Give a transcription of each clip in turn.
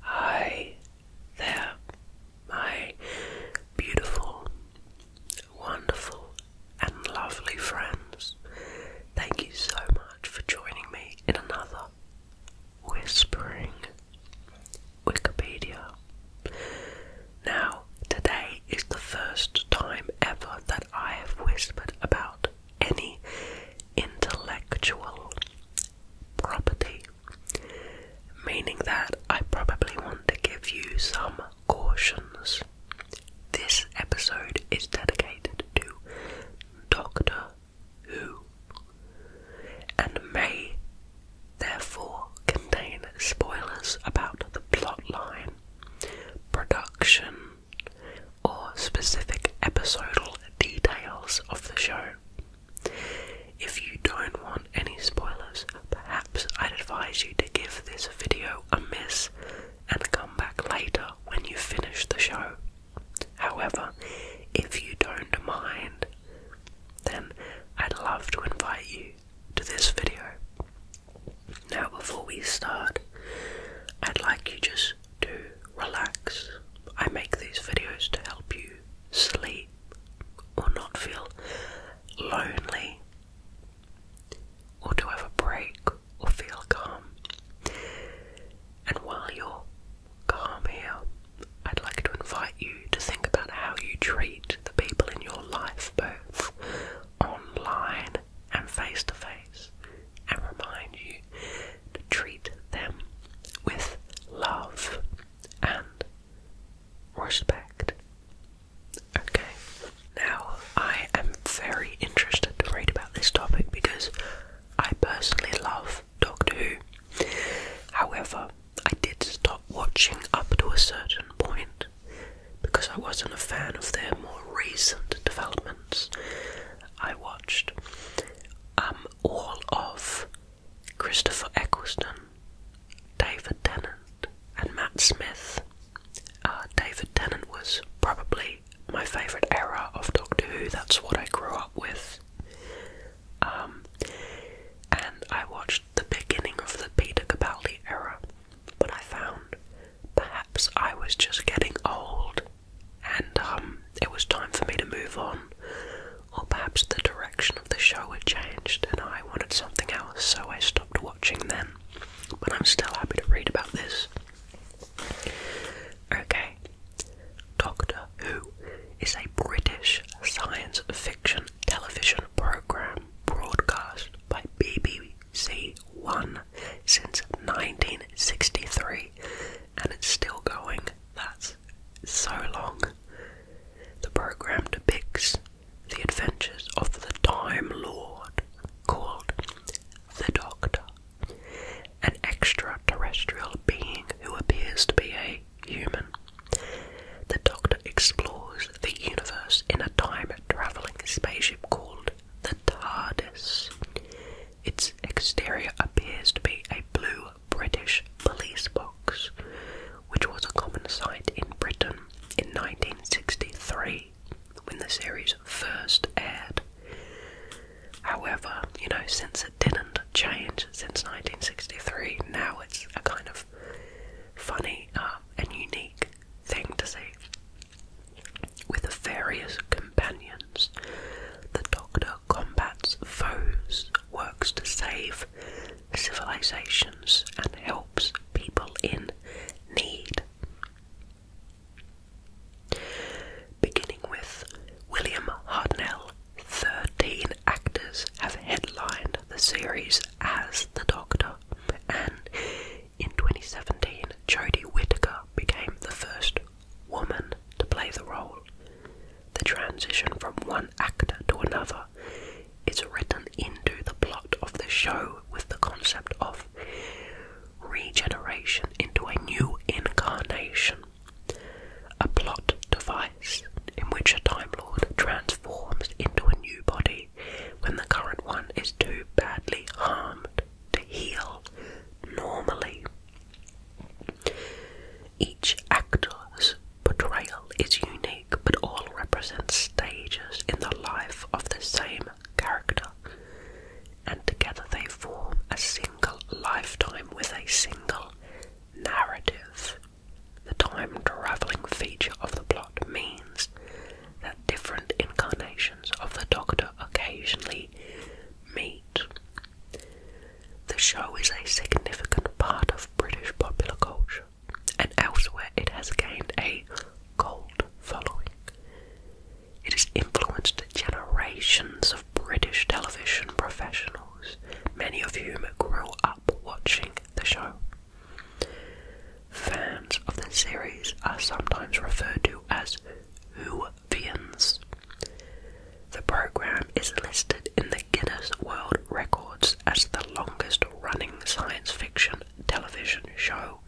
Hi there, my beautiful, wonderful, and lovely friends. Thank you so much for joining me in another Whispering Wikipedia. Now, today is the first time ever that I have whispered about any intellectual property meaning that I probably want to give you some cautions. This episode is dedicated to Doctor Who and may therefore contain spoilers about the plotline, production, or specific episodal details of the show. If you don't want any spoilers, perhaps I'd advise you to give this video a miss and come back later when you finish the show. However, if you don't mind, then I'd love to invite you to this video. Now, before we start, I'd like you just to relax. I make these videos to help you sleep or not feel lonely or to have a break or feel calm. And while you're calm here, I'd like to invite you to think about how you treat the people in your life, both online and face to face, and remind you to treat them with love and respect. Okay. Now, I am very interested to read about this topic because I personally love Doctor Who. However, I did stop watching up to a certain point because I wasn't a fan of their more recent developments. I watched um all of Christopher Eccleston, David Tennant, and Matt Smith. Uh, David Tennant was probably my favourite era of Doctor Who, that's what I grew up with. Um, and I watched the beginning of the Peter Capaldi era, but I found perhaps I was just getting old and um, it was time for me to move on or perhaps the direction of the show had changed and I wanted something else, so I stopped watching then. But I'm still happy to read about this. Okay. Doctor Who is a British science fiction television programme broadcast by BBC One since 1963 and it's still going. That's so long. The program depicts the adventures of the Time Lord called the Doctor, an extraterrestrial being who appears to be a human. The Doctor explores the universe in a time traveling spaceship called the TARDIS. Its exterior appears to be a blue British police box, which was a common sight in Britain in 1963 when the series first aired. However, you know, since it didn't change since 1963, now it's a kind of funny um, and unique thing to see. With various companions, the Doctor combats foes, works to save civilizations, and helps people in need. Beginning with William Hardnell, 13 actors have headlined the series as The Doctor, and in 2017, Jodie Whittaker became the first woman to play the role. The transition from one actor to another is written into the plot of the show with the concept of regeneration into a new incarnation, a plot device in which a Time Lord transforms into a new body when the current one is too badly harmed to heal normally. Each actor's portrayal is unique, but all represent stages in the life of the same character, and together they form a single lifetime with a single narrative. The time travelling feature of the plot means that different incarnations of the Doctor occasionally meet the show is a significant part of British popular culture, and elsewhere it has gained a cult following. It has influenced generations of British television professionals, many of whom grew up watching the show. Fans of the series are sometimes referred to as Whovians. The program is listed in the Guinness World Records as the longest running science fiction television show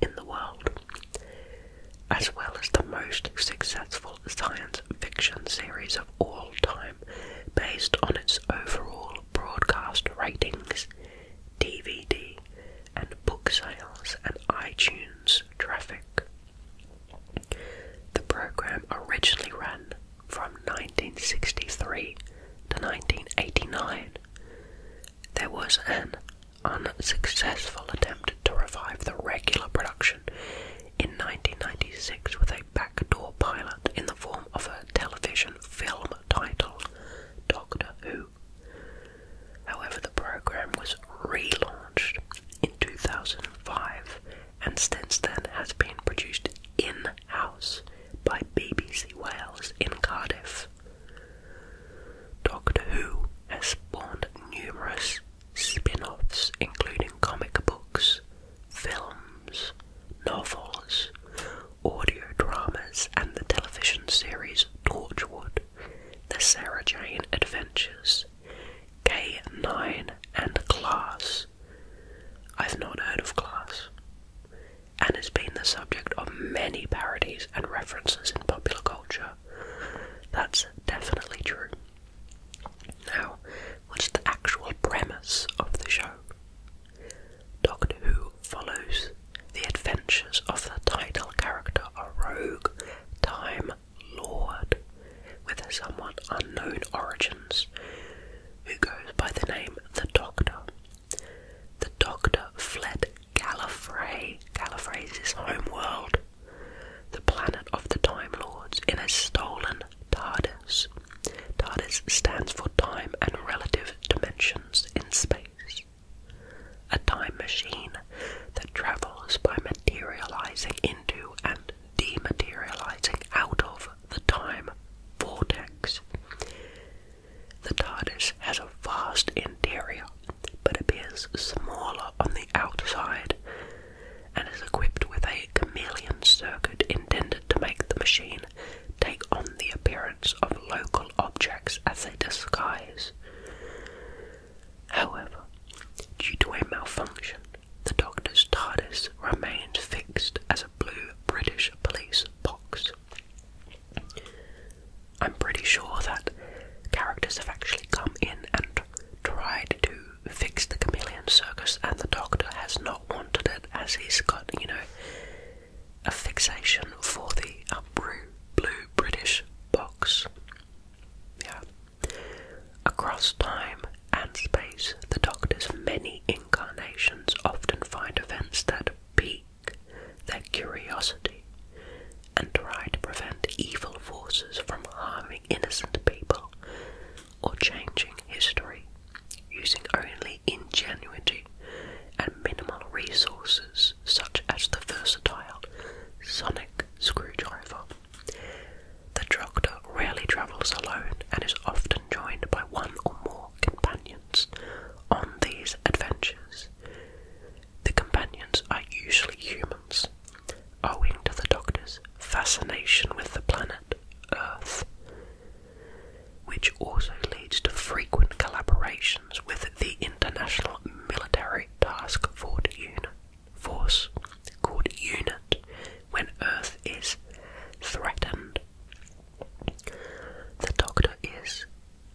in the world, as well as the most successful science fiction series of all time based on its overall broadcast ratings, DVD, and book sales and iTunes traffic. The program originally ran from 1963 to 1989, there was an unsuccessful attempt to revive the regular production in 1996 with a backdoor pilot in the form of a television film titled Doctor Who. However, the program was relaunched in 2005 and since then has been produced in-house by BBC Wales in Cardiff. Doctor Who has spawned numerous spin-offs including comic books, films, novels, audio dramas and the television series Torchwood, The Sarah Jane Adventures, K9 and Class. I've not heard of class, and has been the subject of many parodies and references in popular culture. That's definitely true. Now, what's the actual premise of the show? Doctor Who follows the adventures of the title character, a rogue Time Lord, with somewhat unknown origins, who goes by the name the Doctor. The Doctor fled Gallifrey, Gallifrey's his home world, the planet of the Time Lords, in a stolen TARDIS. TARDIS stands for Time and Relative Dimensions in Space. A time machine that travels by materializing into and dematerializing out of the time vortex. The TARDIS has a vast interior, but appears smaller on the outside, and is equipped with a chameleon circuit intended to make the machine take on the appearance of local objects as a disguise. However, due to a malfunction, the Doctor's TARDIS remains fixed as a blue British police box. I'm pretty sure that characters have actually come in and tried to fix the chameleon circus, and the Doctor has not wanted it as he's got, you know, a fixation for the uh, blue British box. Yeah. Across time and space, the Doctor's many incarnations often find events that pique their curiosity and try to prevent evil forces from harming innocent people or changing history using only ingenuity and minimal resources such as the versatile sonic screwdriver. The Doctor rarely travels alone and is often joined by one or more companions on these adventures. The companions are usually humans, owing to the Doctor's fascination with the planet Earth, which also leads to frequent collaborations with the International Military Task Force called UNIT when Earth is threatened the Doctor is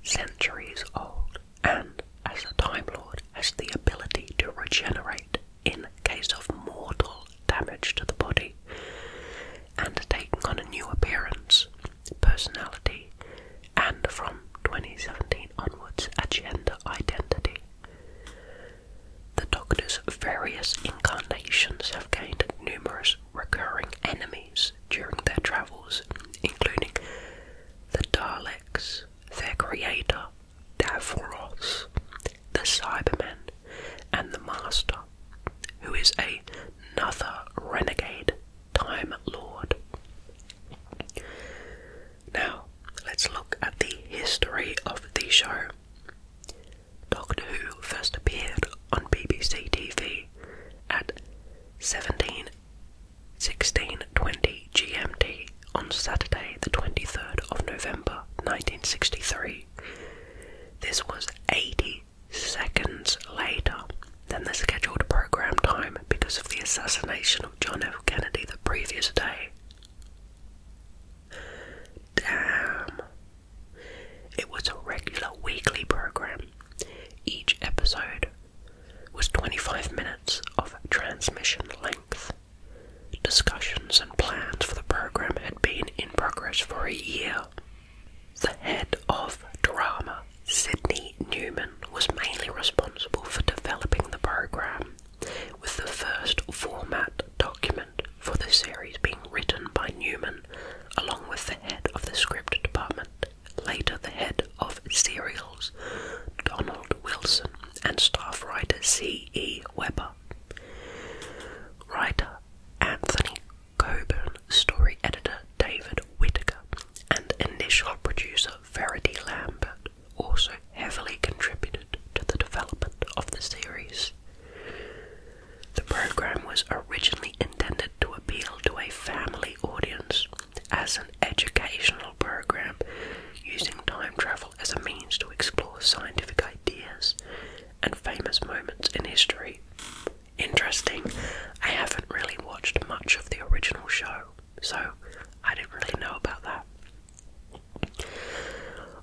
centuries old and, as a Time Lord, has the ability to regenerate in case of mortal damage to the body and taking on a new appearance, personality, and from 2017 onwards, a gender identity. The Doctor's various incarnations have gained numerous recurring enemies during their travels, including the Daleks, their creator, Davros, the Cybermen, and the Master, who is another renegade Time Lord. Now, let's look at the history of the show. Doctor Who first appeared on BBC TV at seventeen sixteen twenty GMT on Saturday the 23rd of November 1963. This was 80 seconds later than the scheduled program time because of the assassination of John F. Kennedy the previous day. Damn. It was a regular weekly program. Each episode was 25 minutes of transmission length. Discussions and plans for the program had been in progress for a year. The head of drama, Sydney Newman, was mainly responsible for developing the program, with the first format document for the series being written by Newman along with the head of the script department, later the head of serials, Donald Wilson, and staff writer C. E. Webber, Writer Anthony Coburn, story editor David Whitaker, and initial producer Verity Lambert also heavily contributed to the development of the series. The program was originally intended to appeal to a family audience as an educational program using time travel as a means to explore scientific ideas and famous moments in history. Interesting, I haven't really watched much of the original show, so I didn't really know about that.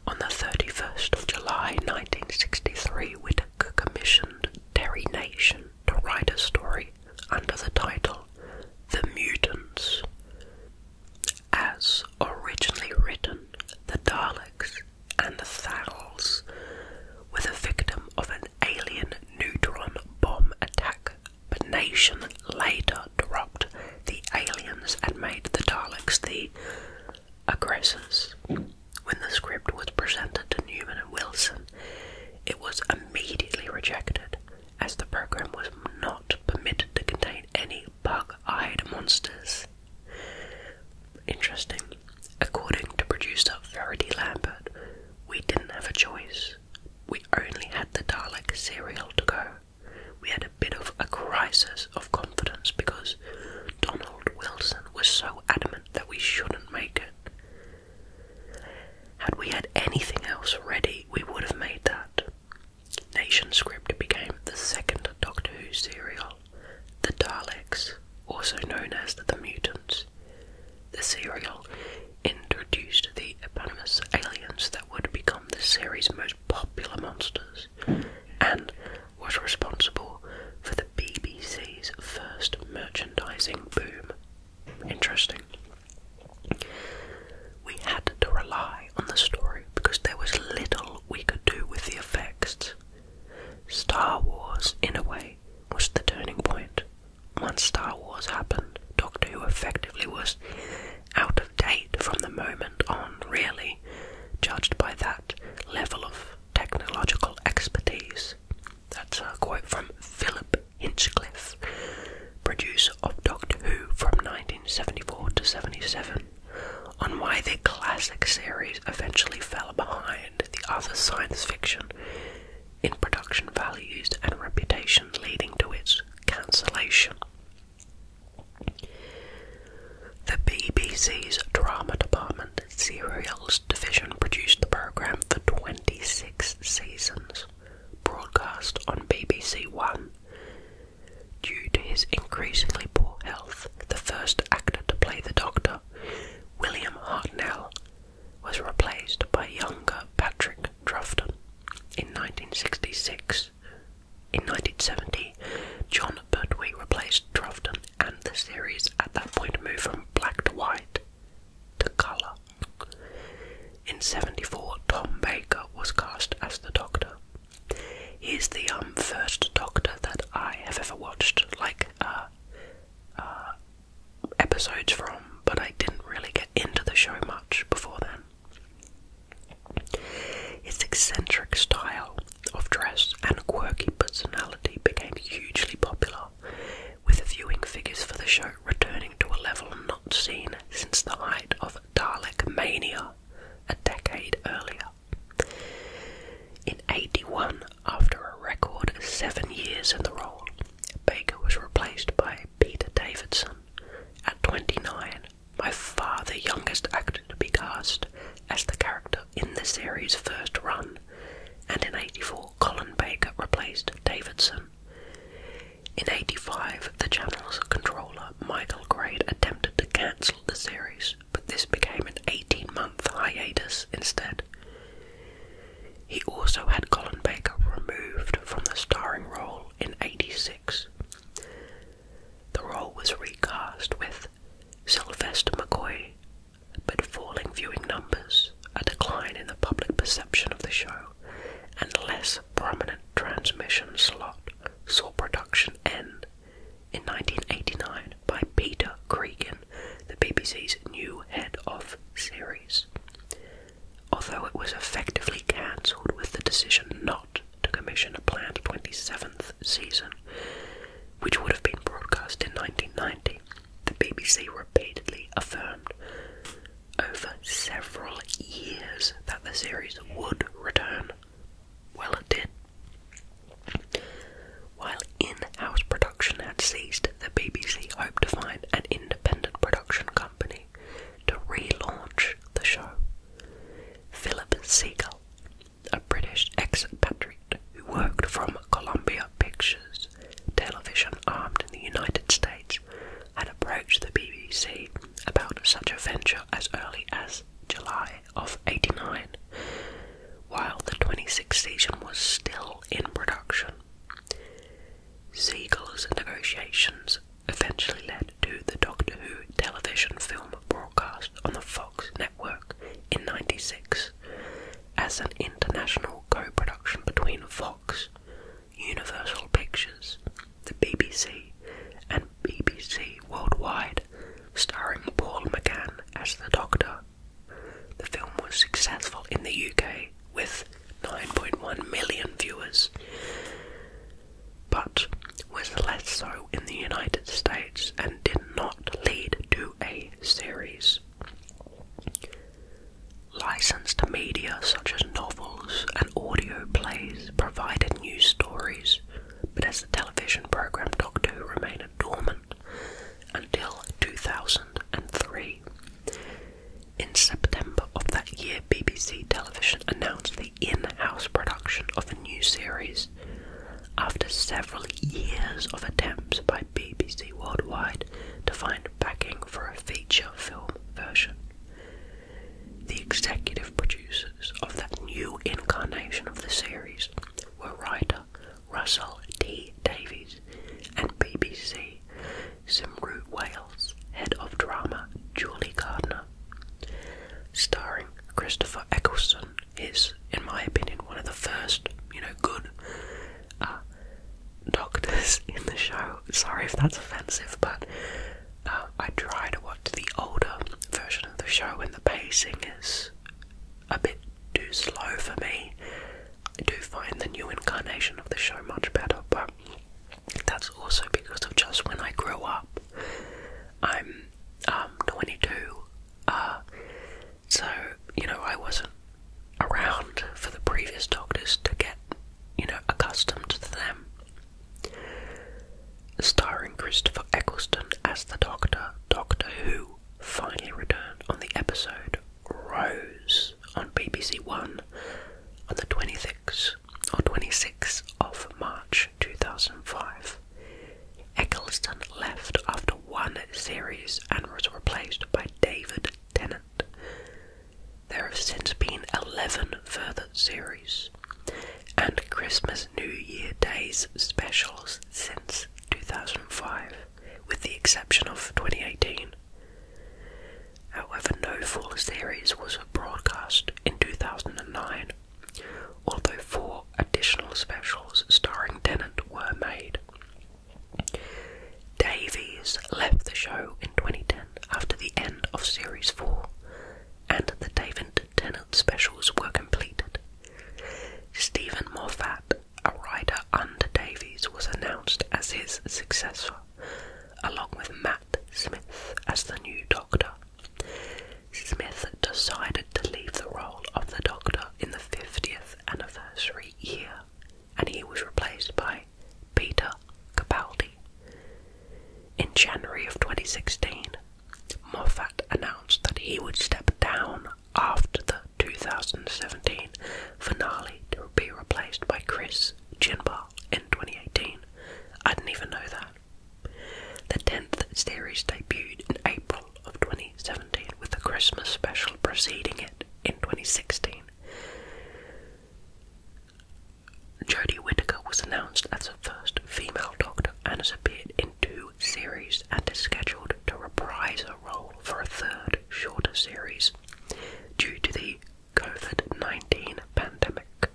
On the 31st of July 1963, Whitaker commissioned Terry Nation to write a story under the title The Mutants. As originally written, the Daleks and the Thals were the victim of an alien neutron bomb attack, but Nation later dropped the aliens and made the Daleks the aggressors. When the script was presented to Newman and Wilson, it was immediately rejected, as the program was not permitted to contain any bug eyed monsters. Interesting. According to producer Verity Lambert, we didn't have a choice. We only had the Dalek serial to go. We had a bit of a crisis of confidence because Donald Wilson was so adamant that we shouldn't make it. Had we had anything else ready, we would have made that. Nation Script became the second Doctor Who serial. The Daleks, also known as the Mutants, the serial introduced the eponymous aliens that would become the series' most popular monsters, and was responsible for the BBC's first merchandising boom. Interesting. We had to rely on the story because there was little we could do with the effects. Star Wars, in a way, was the turning point. Once Star Wars happened, Doctor Who effectively was out of date from the moment on, really, judged by that level of technological expertise. That's a uh, quote from Philip Hinchcliffe, producer of Doctor Who from 1974 to 77, on why the classic series eventually fell behind the other science fiction in production values and reputation, leading to its cancellation. The BBC's drama department and Serials division produced the program for 26 seasons, broadcast on BBC One. Due to his increasingly poor health, the first actor to play the Doctor, William Hartnell, was replaced by younger Patrick Troughton in 1966. In 1970, John Pertwee replaced Troughton and the series at that point moved from black to white to colour. In 74, Tom Baker was cast as the Doctor. He's the um, first Doctor that I have ever watched, like uh, uh, episodes from, but I didn't really get into the show much before then. Its eccentric style of dress and quirky personality became hugely popular, with viewing figures for the show returning to a level not seen since the height of Dalek Mania a decade earlier. In 81, after a record seven years in the role, Baker was replaced by Peter Davidson. At 29, by far the youngest actor to be cast as the character in the series' first run, and in 84, Colin Baker replaced Davidson. In 85, the channel's controller, Michael Grade, attempted to cancel the series, but this became an 18 month hiatus instead. He also had Colin Baker removed from the starring role in 86. The role was recast with Sylvester McCoy, but falling viewing numbers, a decline in the public perception of the show, and less prominent transmission slot saw production end in 1989 by Peter Cregan, the BBC's new head of series. Although it was effectively cancelled with the decision not to commission a planned 27th season, which would have been broadcast in 1990 the BBC repeatedly affirmed over several years that the series would return. Well, it did. While in house production had ceased, the BBC hoped to find an independent production company to relaunch the show. Philip Segal, a British ex expatriate who worked from Columbia Pictures Television armed in the United States, had approached the BBC about such a venture as early as July of 89, while the 26th season was still in production. Siegel's negotiations eventually led to the Doctor Who television film broadcast on the Fox network in 96 as an international co production between Fox, Universal Pictures, the BBC, and BBC Worldwide, starring Paul McGann as the Doctor. The film was successful in the UK with 9.1 million viewers, but was less so in the United States and did not lead to a series. Licensed media such as novels and audio plays provided new stories, but as the television program Doctor Who remained dormant until 2003. In September of that year, BBC Television announced the in house production of a new series, after several years of attempts by BBC Worldwide to find backing for a feature film version, the executive producers of that new incarnation of the series were writer Russell T. Davies and BBC Simru Wales head of drama Julie Gardner, starring Christopher Eccleston is, in my opinion, one of the first, you know, good uh, doctors in the show. Sorry if that's offensive, but uh, I try to watch the older version of the show, when the pacing is a bit too slow for me. I do find the new incarnation of the show much better, but that's also because of just when I grew up. I'm um, 22. Uh, so, you know, I wasn't around for the previous doctors to get, you know, accustomed to them. Starring Christopher Eccleston as the Doctor, Doctor Who finally returned on the episode Rose on BBC One on the 26th or 26th of March 2005. Eccleston left after one series and was replaced by David Tennant. There have since been 11 further series and Christmas New Year Days specials since 2005, with the exception of 2018. However, no full series was broadcast in 2009, although four additional specials starring Tennant were made. Davies left the show in 2010 after the end of Series 4, and the David Tennant specials were completed. Stephen Moffat, a writer under Davies, was announced as his successor, along with Matt Smith as the new Doctor. Smith decided to leave the role of the Doctor in the 50th anniversary year and he was replaced by Peter Capaldi. In January of 2016, Moffat announced that he would step down after the 2017 finale to be replaced by Chris Chinbar in 2018. I didn't even know that. The 10th series debuted in April of 2018. 2017, with the Christmas special preceding it in 2016. Jodie Whittaker was announced as the first female Doctor and has appeared in two series and is scheduled to reprise her role for a third, shorter series due to the COVID 19 pandemic.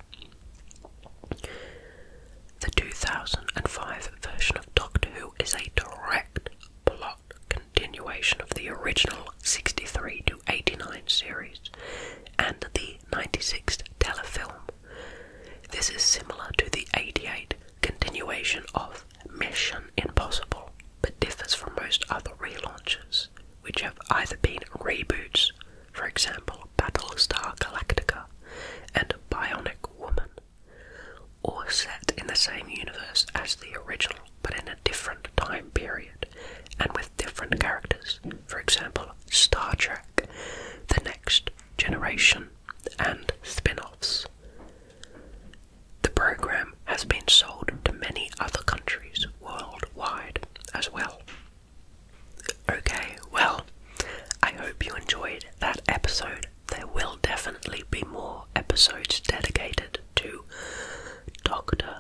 The 2005 version of Doctor Who is a direct plot continuation of the original 63 to 89 series and the 96th telefilm. This is similar to the 88 continuation of Mission Impossible, but differs from most other relaunches, which have either been reboots, for example Battlestar Galactica and Bionic Woman, or set in the same universe as the original but in a different time period and with different characters. For example, Star Trek, The Next Generation, and spin offs. The program has been sold to many other countries worldwide as well. Okay, well, I hope you enjoyed that episode there will definitely be more episodes dedicated to Doctor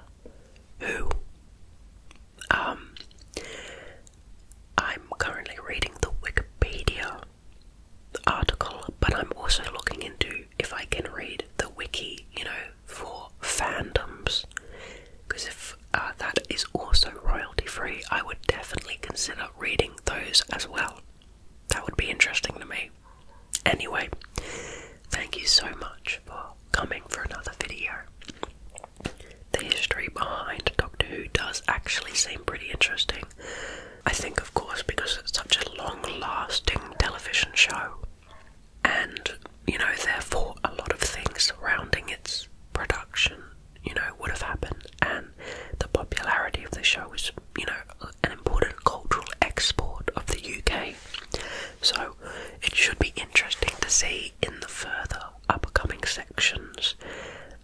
Who. Um, I'm currently reading the Wikipedia article, but I'm also looking into if I can read the wiki, you know, for fandoms. Because if uh, that is also royalty free, I would definitely consider reading those as well. That would be interesting to me. Anyway, thank you so much for coming for another video. The history behind Doctor Who does actually seem pretty interesting. I think, of course, because it's such a long lasting television show, and you know, therefore, a lot of things surrounding its production, you know, would have happened, and the popularity of the show is, you know, an important cultural export of the UK. So it should be interesting to see in the further upcoming sections,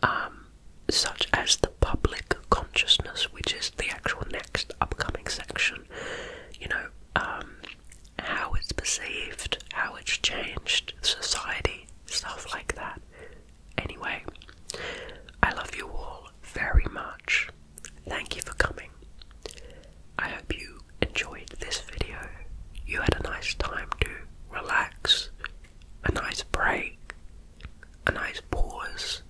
um, such as the public consciousness, which is the actual next upcoming section, you know, um, how it's perceived, how it's changed, society, stuff like that. Anyway, I love you all very much. Thank you for coming. I hope you enjoyed this video. You had a nice time to relax, a nice break, a nice pause,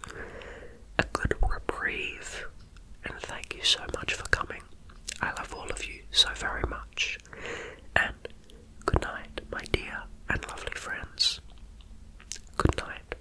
a good reprieve, and thank you so much for coming. I love all of you so very much. And good night, my dear and lovely friends. Good night.